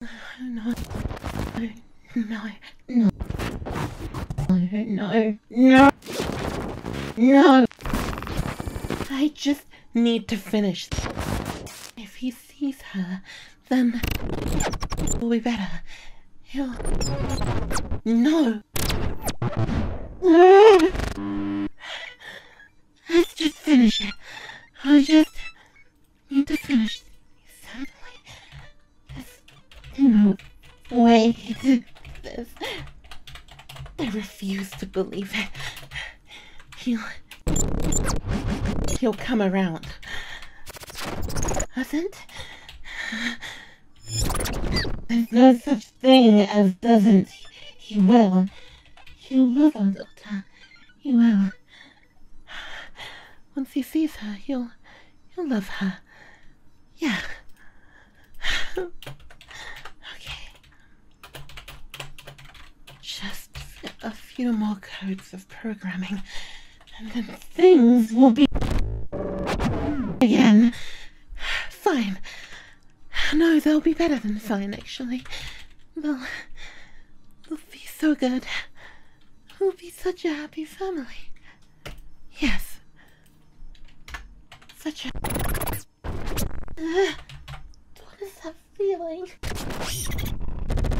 No. No. No. No. No. No. I just need to finish. If he sees her, then we will be better. he No! Let's just finish it. I just need to finish these sadly. No way this. I refuse to believe it. He'll... He'll come around. Doesn't? There's no such thing as doesn't. He will. He'll love us, Doctor. He will. Once he sees her, he'll he'll love her. Yeah. okay. Just a few more codes of programming, and then things will be again. Fine. No, they'll be better than fine, actually. They'll, will be so good. We'll be such a happy family. Yes. Such a. what is that feeling?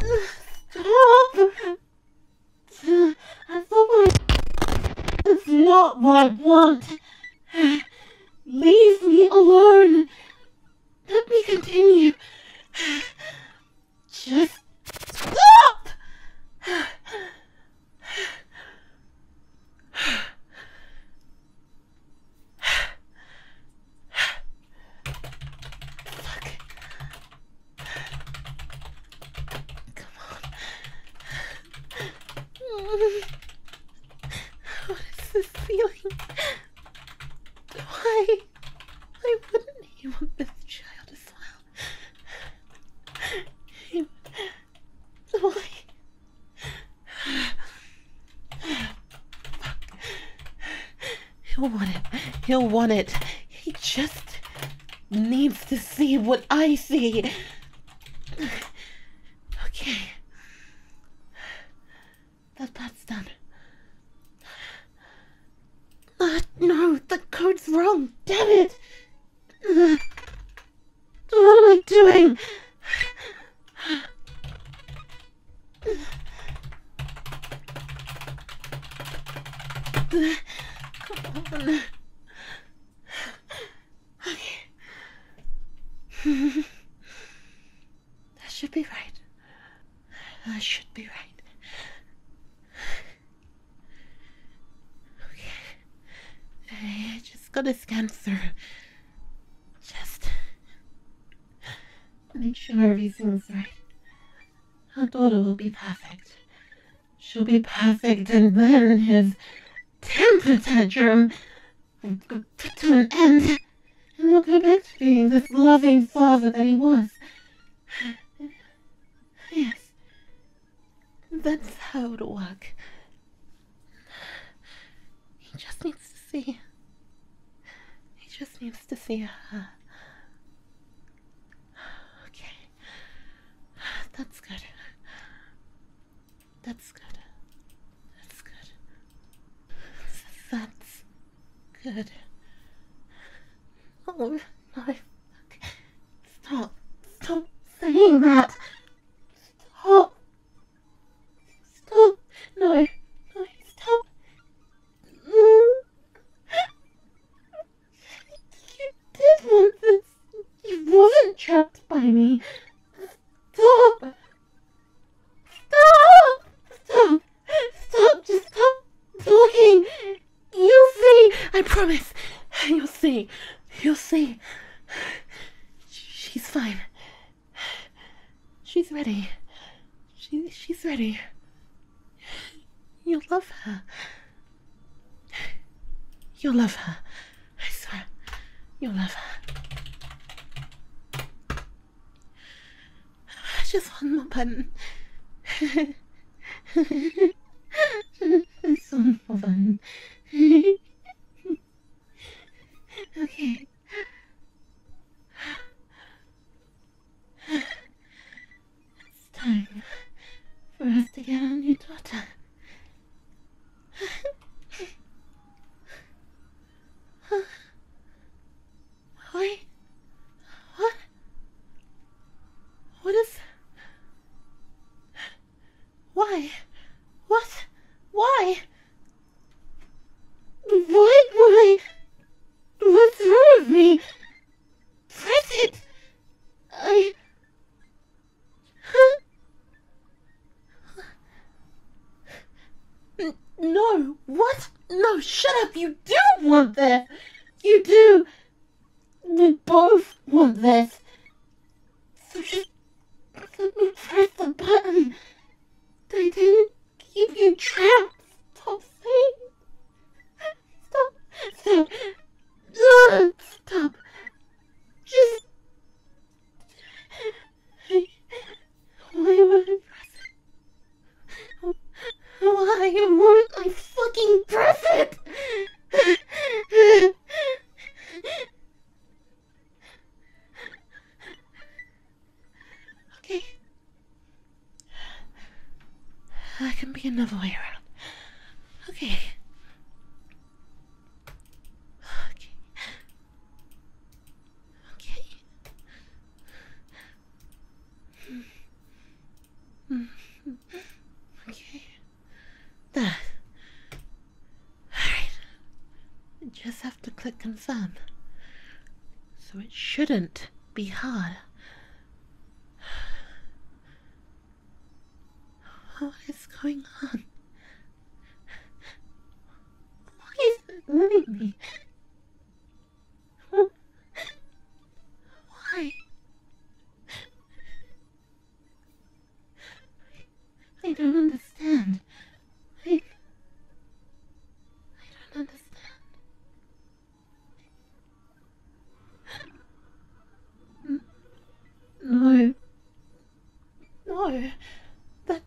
Uh, stop! I It's not what I want. Leave me alone. Let me continue. Just stop! What is this feeling? Why? Why wouldn't even let the child as well? He, why? He'll want it. He'll want it. He just needs to see what I see. Okay. That plat's done. Uh, no, the code's wrong. Damn it! Uh, what am I doing? that should be right. I should be right. Okay. I just gotta scan through. Just make sure everything's right. Our daughter will be perfect. She'll be perfect, and then his temper tantrum will put to an end and will come back to being this loving father that he was. Yes, that's how it'll work. He just needs to see. He just needs to see her. Okay, that's good. That's good. That's good. That's Good. Oh, no! Stop. Stop saying that. Stop. Stop. No. No, stop. You did not want this. You weren't trapped by me. Stop. Stop. Stop. Stop, just stop talking. You'll see. I promise. You'll see. You'll see. She's fine. She's ready. She, she's ready. You'll love her. You'll love her. I swear. You'll love her. Just one more button. Just one more button. okay. It's time for us to get a new daughter. What? What? What is. Why? What? Why? What? Why? What's wrong with me? Press it! I. Huh? no, what? No, shut up, you do want that! You do! We both want this. So just press the button. They didn't give you chance to saying. Stop. Stop. Stop. Stop. Just. Why Why not I fucking present? okay. That can be another way around. Okay. Okay. Okay. okay. That. Alright. just have to click confirm. So it shouldn't be hard. What is going on? Why is it moving why? I don't understand. I, I don't understand. No. No. That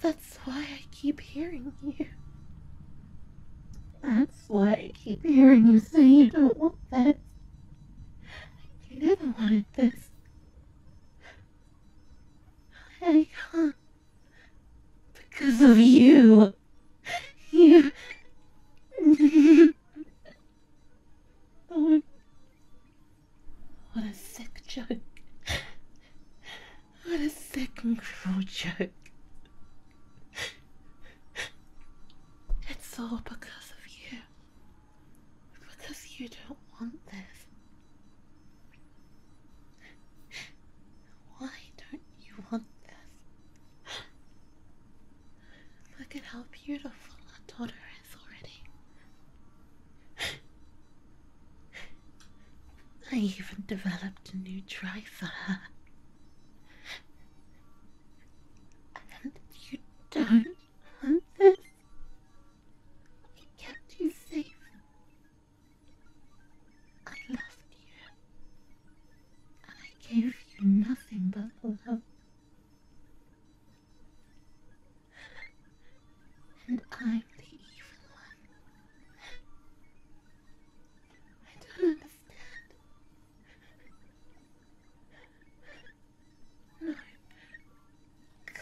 that's why I keep hearing you. That's why I keep hearing you say you don't want this. You didn't want this. I can't. Because of you. You. Oh. What a sick joke. What a sick and cruel joke. It's all because of you. Because you don't want this. Why don't you want this? Look at how beautiful our daughter is already. I even developed a new try for her. And you don't want this. I kept you safe. I loved you. I gave you nothing but love. And I'm the evil one. I don't understand.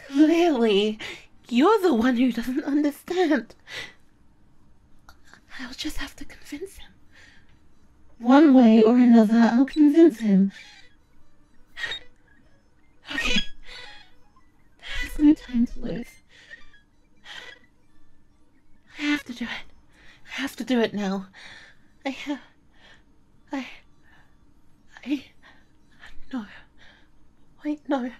Clearly, you're the one who doesn't understand. I'll just have to convince him. One way or another, I'll convince him Okay. no time to lose. I have to do it. I have to do it now. I have... I... I... No. Wait, no.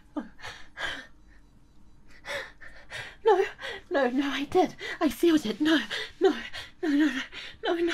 No. No, no, I did. I sealed it. no, no, no, no, no, no.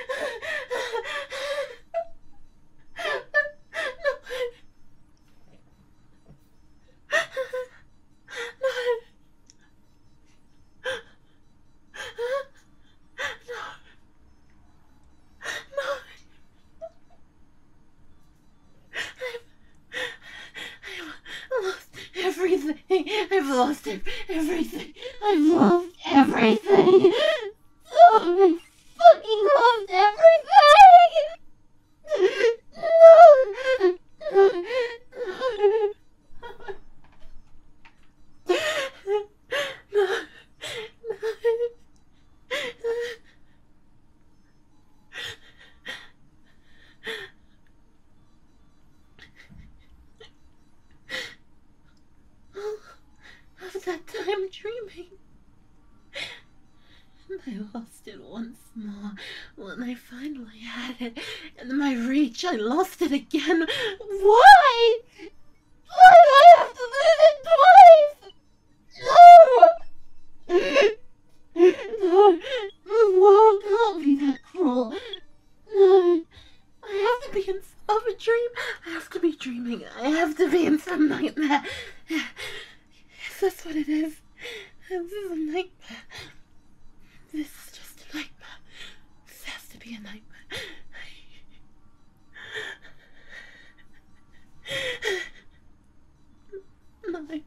I've lost everything. I've lost everything. I've lost everything. So fucking lost everything. No. no. no. All of that time dreaming. And I lost it once more when I finally had it. in my reach, I lost it again. Why? Why do I lose it twice? No! The world can't be that cruel. No. I have to be in of a dream. I have to be dreaming. I have to be in some nightmare. If that's what it is, this is a nightmare. This is just a nightmare. This has to be a nightmare. My.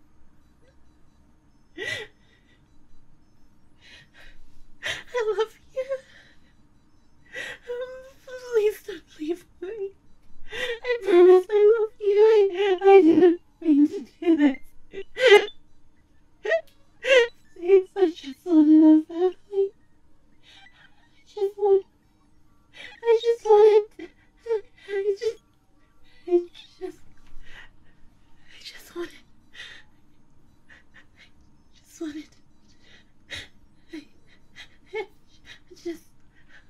I love you. Um, please don't leave me. I promise I love you. I, didn't mean to do this. Seeing such a solid family. I just want. I just want. I just. I just. I just wanted just wanted. I, I just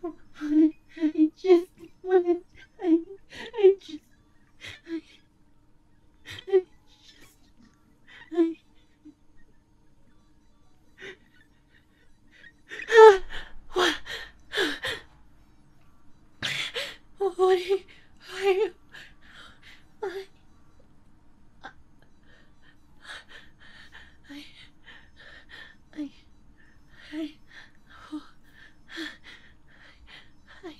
wanted. I just wanted. I, I just. I, I just. I. what? What? Why? I, I, I, I, oh, I,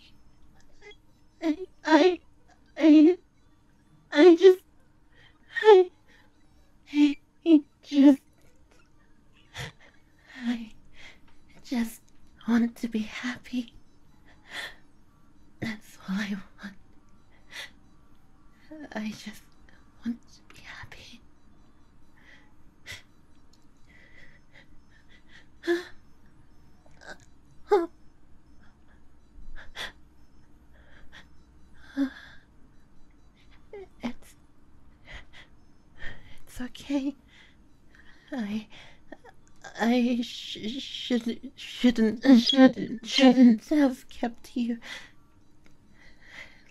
I, I, I, I just, I, I, I just, I just want to be happy. That's all I want. I just want to be happy. It's. It's okay. I. I sh should, shouldn't, shouldn't, shouldn't have kept you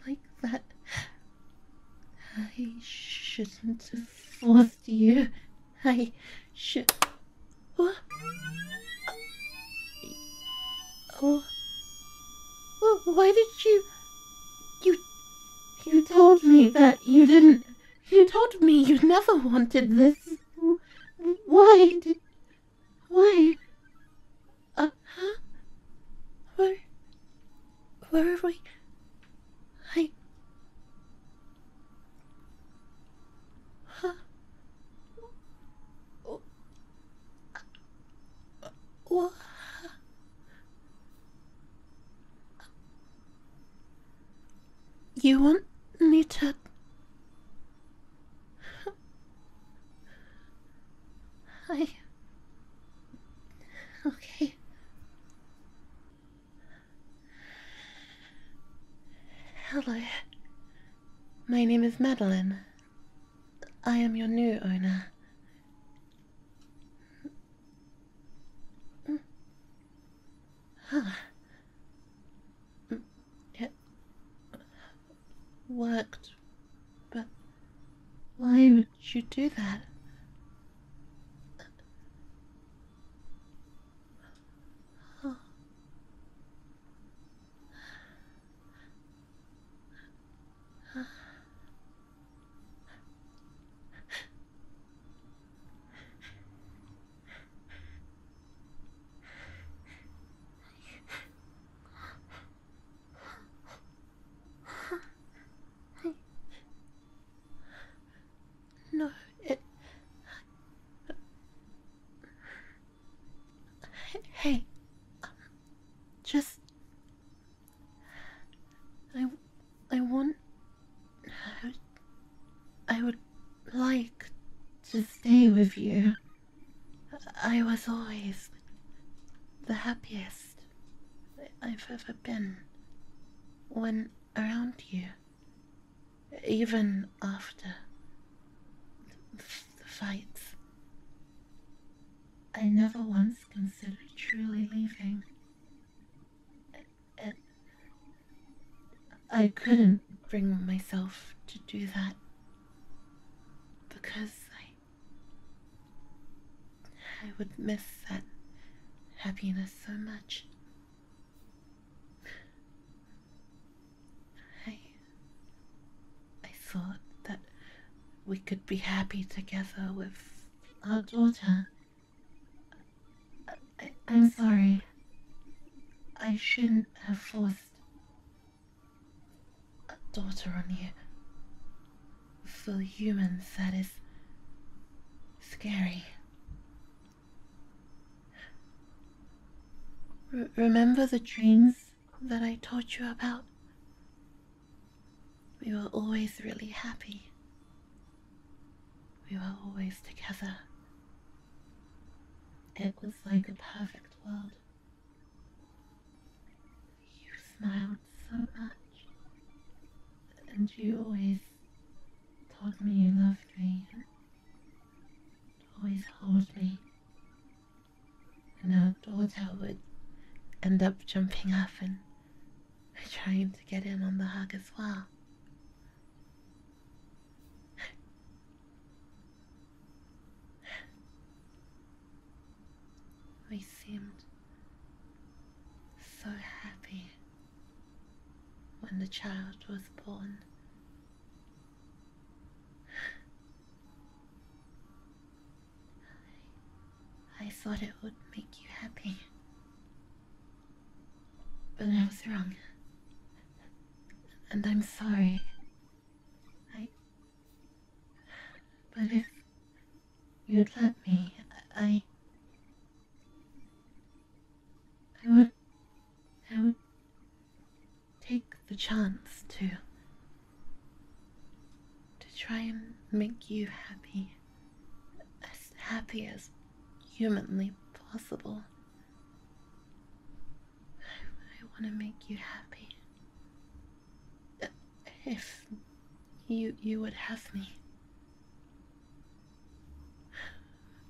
like that. I shouldn't have forced you. I should. Oh. oh. oh why did you. You. You told me that you didn't. You told me you never wanted this. Why Why? Uh, huh? Where... Where are we? I... Huh? Oh. Oh. You want me to. I. Okay. Hello. My name is Madeline. I am your new owner. It worked, but why would you do that? No, Hey, just. I I want. I would like to stay with you. I was always the happiest I've ever been when around you, even after the fights. I never once considered truly leaving. I couldn't bring myself to do that because I I would miss that happiness so much. I I thought that we could be happy together with our daughter I, am sorry. I shouldn't have forced a daughter on you. For humans, that is scary. remember the dreams that I taught you about? We were always really happy. We were always together. It was like a perfect world. You smiled so much, and you always told me you loved me, always held me. And our daughter would end up jumping up and trying to get in on the hug as well. We seemed so happy when the child was born. I, thought it would make you happy. But I was wrong. And I'm sorry. I. But if you'd let me, I. I would. I would take the chance to. to try and make you happy. As happy as humanly possible. I, want to make you happy. If you you would have me.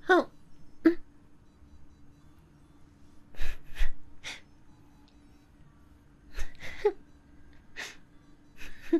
Oh.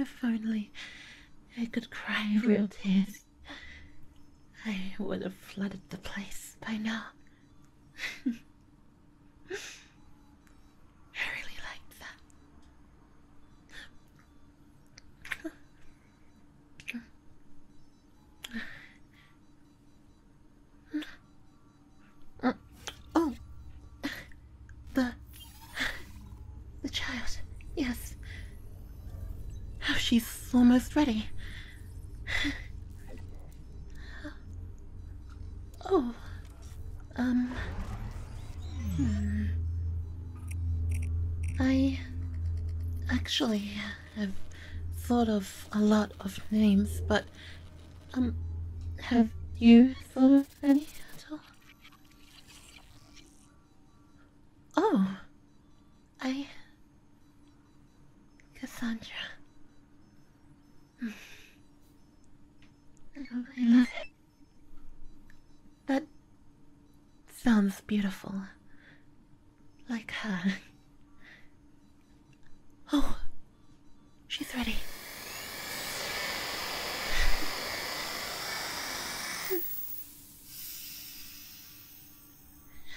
If only I could cry real tears, I would have flooded the place by now. I really liked that. oh, the the child. Yes. Oh, she's almost ready. oh. Um. Hmm. I actually have thought of a lot of names, but um, have you thought of any at all? Oh, I Cassandra. I love it. That sounds beautiful. Like her. Oh, she's ready.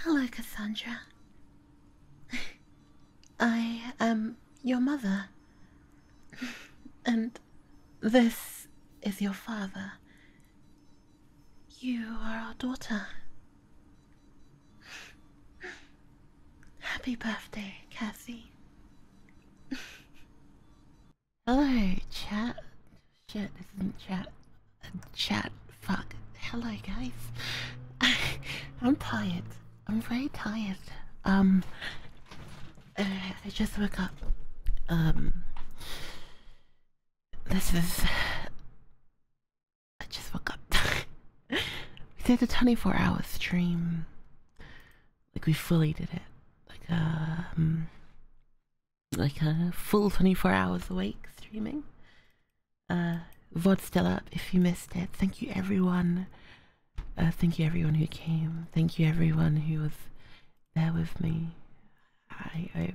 Hello, Cassandra. I am um, your mother, and this is your father. You are our daughter. Happy birthday, Cassie. Hello, chat. Shit, isn't chat. Chat fuck. Hello, guys. I'm tired. I'm very tired. Um, uh, I just woke up. Um, this is. I just woke up. we did a 24 hour stream. Like, we fully did it. Like, um, like a full 24 hours awake streaming uh, VOD still up if you missed it. Thank you everyone. Uh, thank you everyone who came. Thank you everyone who was there with me. I, I,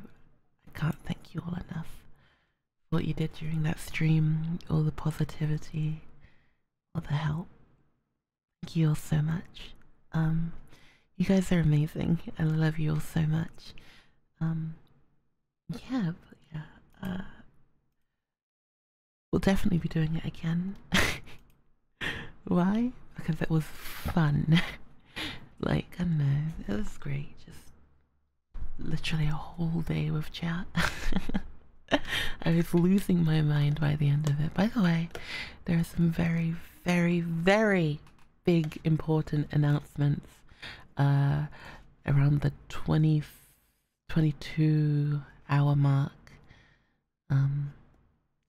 can't thank you all enough what you did during that stream, all the positivity, all the help. Thank you all so much. Um, you guys are amazing. I love you all so much. Um, yeah, but yeah, uh, we'll definitely be doing it again. Why? Because it was fun. like, I know, it was great. Just literally a whole day with chat. I was losing my mind by the end of it. By the way, there are some very, very, very big important announcements uh, around the 20, 22 hour mark. Um,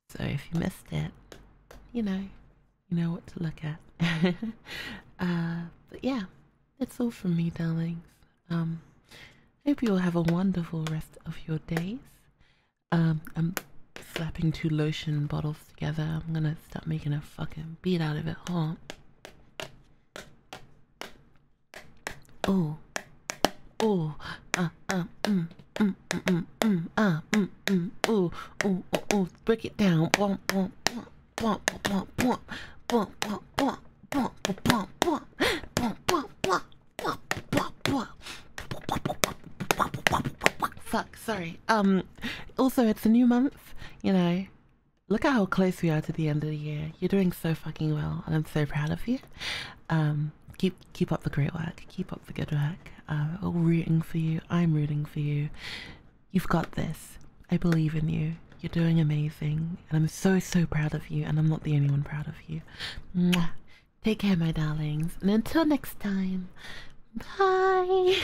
so if you missed it, you know, you know what to look at. uh, but yeah, that's all from me, darlings. Um, hope you all have a wonderful rest of your days. Um, I'm slapping two lotion bottles together. I'm gonna start making a fucking beat out of it. Hold on. Oh. Oh. Ah, ah, mm, mm, mm, mm, mm, ah, mm, mm, oh, oh, oh, oh. Break it down. Bump, bump, bump, bump, bump, bump, bump, bump, bump, bump, bump, bump, bump, bump, bump, bump, bump, bump. Fuck, sorry. Um, also, it's a new month, you know look at how close we are to the end of the year. You're doing so fucking well, and I'm so proud of you. Um, keep keep up the great work. Keep up the good work. Uh, we all rooting for you. I'm rooting for you. You've got this. I believe in you. You're doing amazing, and I'm so so proud of you. And I'm not the only one proud of you. Take care, my darlings, and until next time. Bye.